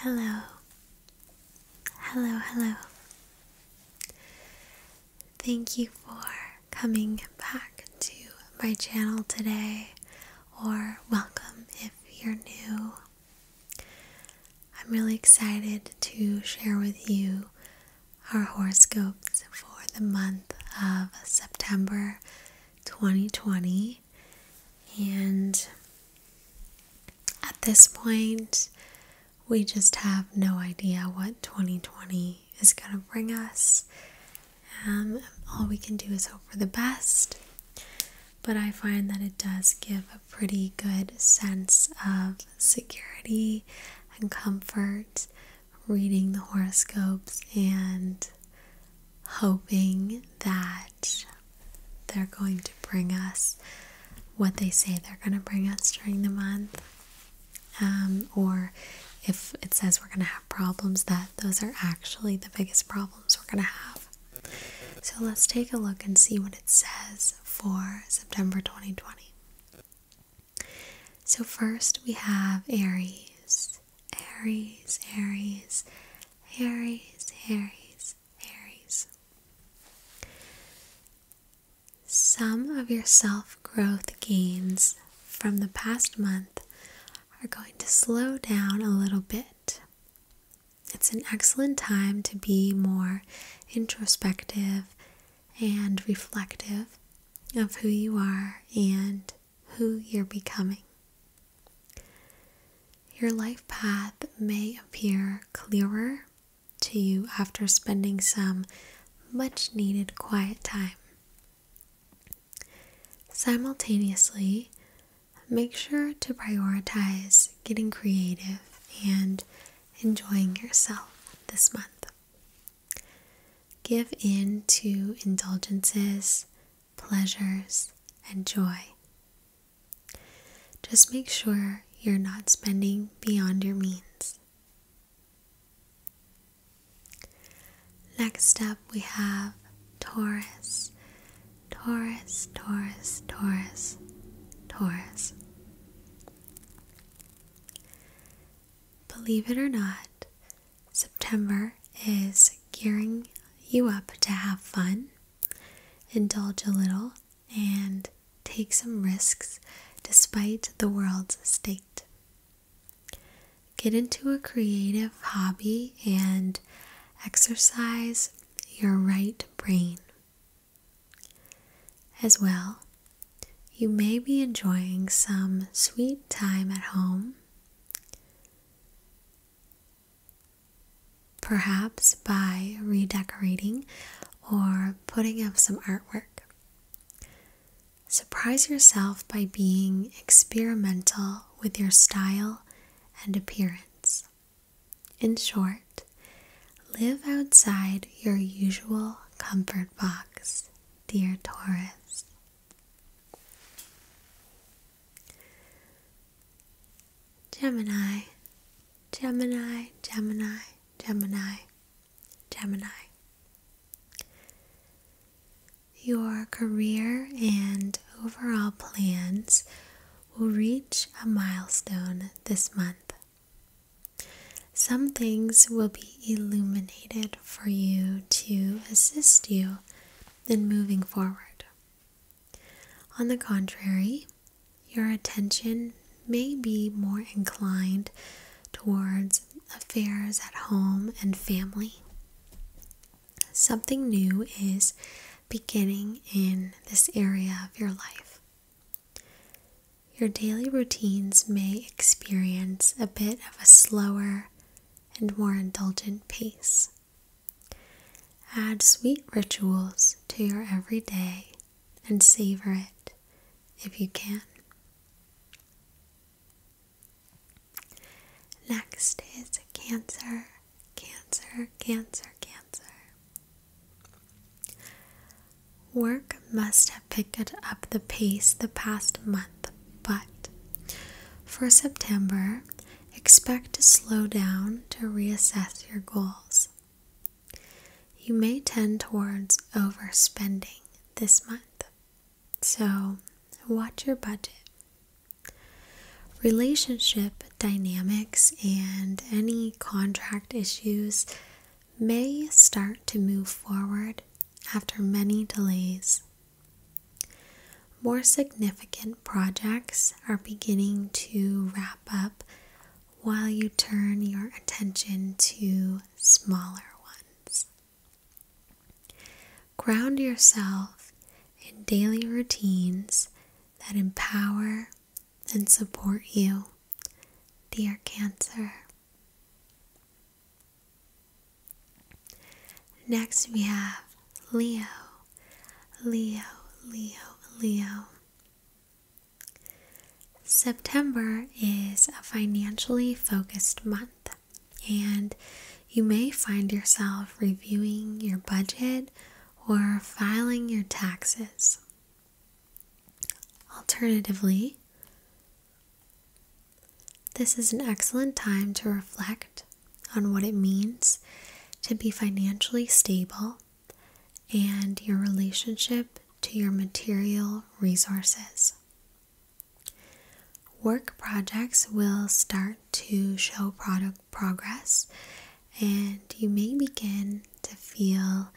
Hello, hello, hello. Thank you for coming back to my channel today, or welcome if you're new. I'm really excited to share with you our horoscopes for the month of September 2020. And at this point, we just have no idea what 2020 is going to bring us. Um, all we can do is hope for the best. But I find that it does give a pretty good sense of security and comfort reading the horoscopes and hoping that they're going to bring us what they say they're going to bring us during the month. Um, or if it says we're going to have problems, that those are actually the biggest problems we're going to have. So let's take a look and see what it says for September 2020. So, first we have Aries. Aries, Aries, Aries, Aries, Aries. Some of your self growth gains from the past month are going to slow down a little bit. It's an excellent time to be more introspective and reflective of who you are and who you're becoming. Your life path may appear clearer to you after spending some much needed quiet time. Simultaneously, make sure to prioritize getting creative and enjoying yourself this month. Give in to indulgences pleasures, and joy. Just make sure you're not spending beyond your means. Next up, we have Taurus. Taurus, Taurus, Taurus, Taurus. Believe it or not, September is gearing you up to have fun, indulge a little, and take some risks despite the world's state. Get into a creative hobby and exercise your right brain. As well, you may be enjoying some sweet time at home, Perhaps by redecorating or putting up some artwork. Surprise yourself by being experimental with your style and appearance. In short, live outside your usual comfort box, dear Taurus. Gemini, Gemini, Gemini, Gemini, Gemini. Your career and overall plans will reach a milestone this month. Some things will be illuminated for you to assist you than moving forward. On the contrary, your attention may be more inclined towards affairs at home and family. Something new is beginning in this area of your life. Your daily routines may experience a bit of a slower, and more indulgent pace. Add sweet rituals to your everyday and savor it if you can. Next is Cancer, Cancer, Cancer, Cancer. Work must have picked up the pace the past month but for September, expect to slow down to reassess your goals. You may tend towards overspending this month, so watch your budget. Relationship dynamics and any contract issues may start to move forward after many delays more significant projects are beginning to wrap up while you turn your attention to smaller ones. Ground yourself in daily routines that empower and support you, dear Cancer. Next, we have Leo, Leo, Leo, Leo. September is a financially focused month, and you may find yourself reviewing your budget or filing your taxes. Alternatively, this is an excellent time to reflect on what it means to be financially stable and your relationship to your material resources. Work projects will start to show product progress, and you may begin to feel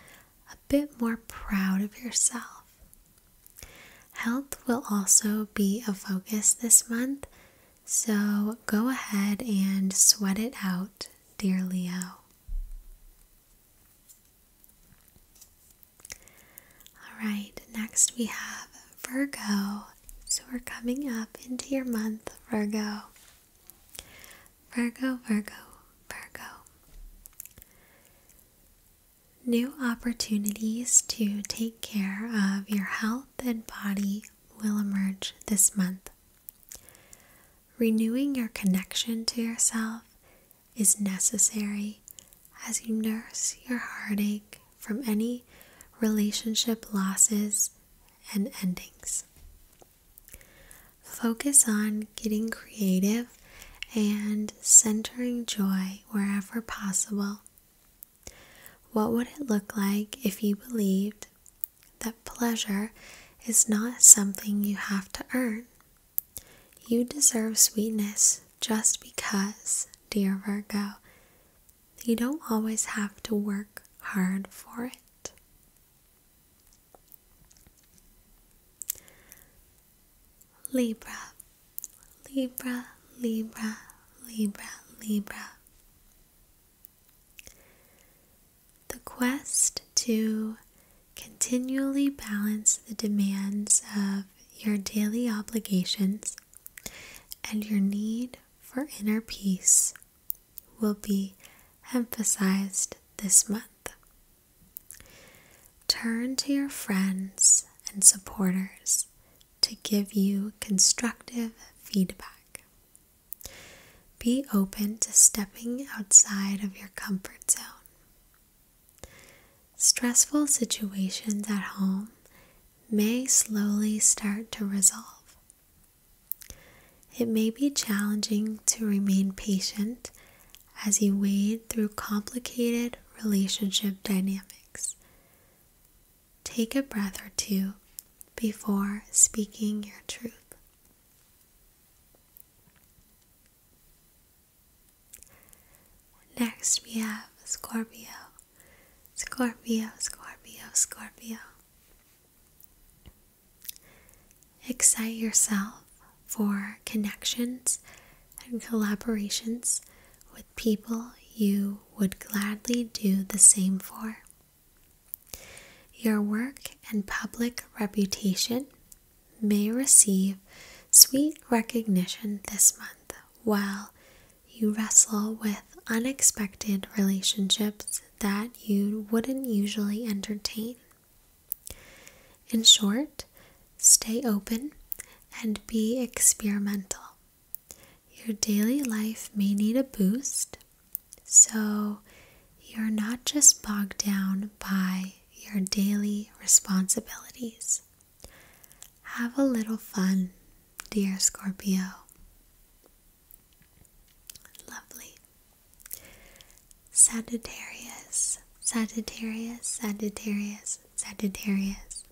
a bit more proud of yourself Health will also be a focus this month, so go ahead and sweat it out, dear Leo. All right, next we have Virgo. So we're coming up into your month, Virgo. Virgo, Virgo, Virgo. New opportunities to take care of your health and body will emerge this month. Renewing your connection to yourself is necessary as you nurse your heartache from any relationship losses and endings. Focus on getting creative and centering joy wherever possible. What would it look like if you believed that pleasure is not something you have to earn? You deserve sweetness just because, dear Virgo, you don't always have to work hard for it. Libra. Libra, Libra, Libra, Libra. The quest to continually balance the demands of your daily obligations and your need for inner peace will be emphasized this month. Turn to your friends and supporters to give you constructive feedback. Be open to stepping outside of your comfort zone. Stressful situations at home may slowly start to resolve. It may be challenging to remain patient as you wade through complicated relationship dynamics Take a breath or two before speaking your truth. Next, we have Scorpio. Scorpio, Scorpio, Scorpio. Excite yourself for connections and collaborations with people you would gladly do the same for. Your work and public reputation may receive sweet recognition this month while you wrestle with unexpected relationships that you wouldn't usually entertain. In short, stay open and be experimental. Your daily life may need a boost, so you're not just bogged down by your daily responsibilities. Have a little fun, dear Scorpio. Lovely. Sagittarius, Sagittarius, Sagittarius, Sagittarius.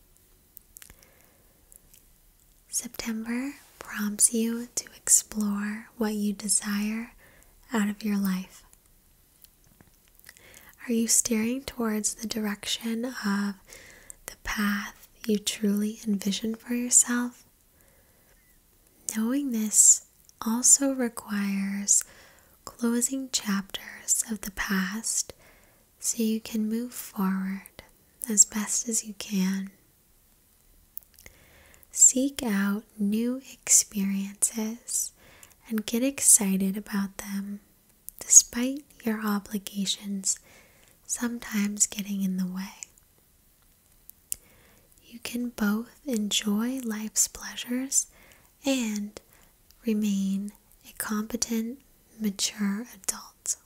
September prompts you to explore what you desire out of your life. Are you steering towards the direction of the path you truly envision for yourself? Knowing this also requires closing chapters of the past so you can move forward as best as you can. Seek out new experiences and get excited about them despite your obligations sometimes getting in the way. You can both enjoy life's pleasures and remain a competent, mature adult.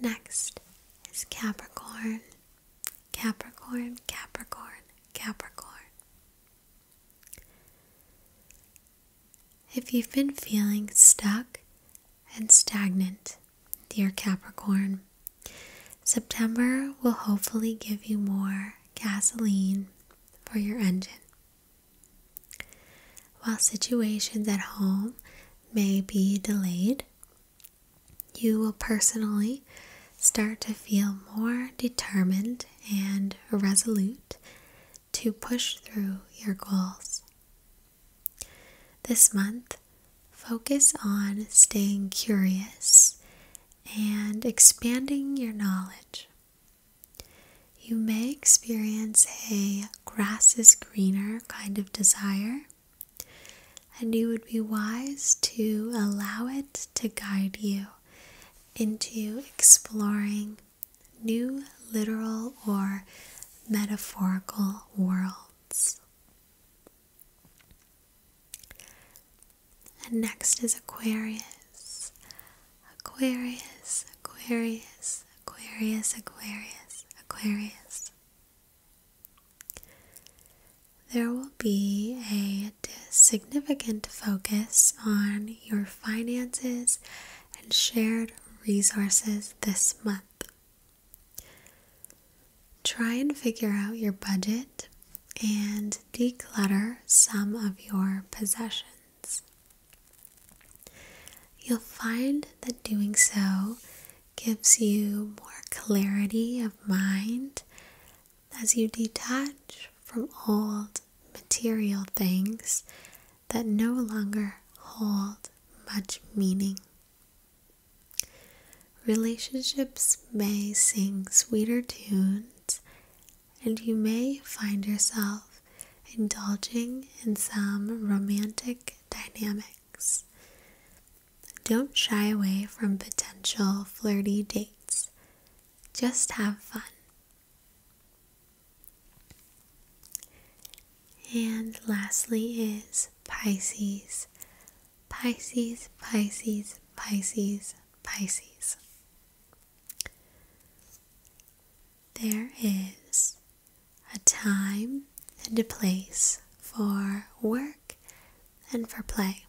Next is Capricorn. Capricorn, Capricorn, Capricorn. If you've been feeling stuck and stagnant, dear Capricorn, September will hopefully give you more gasoline for your engine. While situations at home may be delayed, you will personally start to feel more determined and resolute to push through your goals. This month, focus on staying curious and expanding your knowledge. You may experience a grass is greener kind of desire, and you would be wise to allow it to guide you into exploring new literal or metaphorical worlds. And next is Aquarius. Aquarius, Aquarius, Aquarius, Aquarius, Aquarius. There will be a significant focus on your finances and shared resources this month. Try and figure out your budget and declutter some of your possessions. You'll find that doing so gives you more clarity of mind as you detach from old material things that no longer hold much meaning. Relationships may sing sweeter tune and you may find yourself indulging in some romantic dynamics. Don't shy away from potential flirty dates, just have fun. And lastly is Pisces. Pisces, Pisces, Pisces, Pisces. There is a time and a place for work and for play.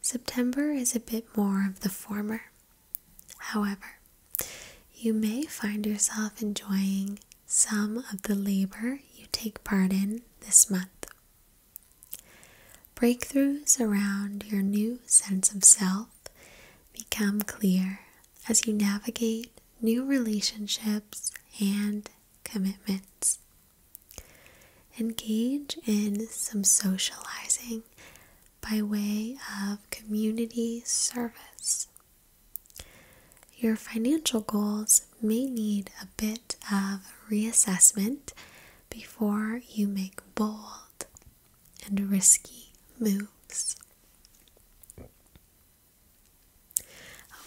September is a bit more of the former. However, you may find yourself enjoying some of the labor you take part in this month. Breakthroughs around your new sense of self become clear as you navigate new relationships and commitments. Engage in some socializing by way of community service. Your financial goals may need a bit of reassessment before you make bold and risky moves.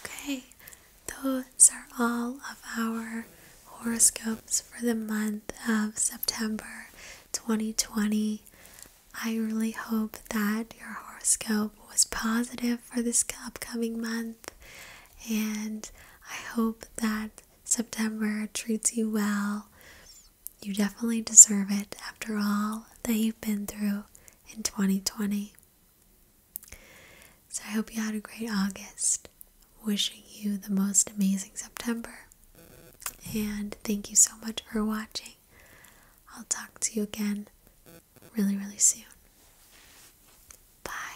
Okay, those are all of our horoscopes for the month of September 2020. I really hope that your horoscope was positive for this upcoming month and I hope that September treats you well. You definitely deserve it after all that you've been through in 2020. So I hope you had a great August. Wishing you the most amazing September. And thank you so much for watching. I'll talk to you again really, really soon. Bye.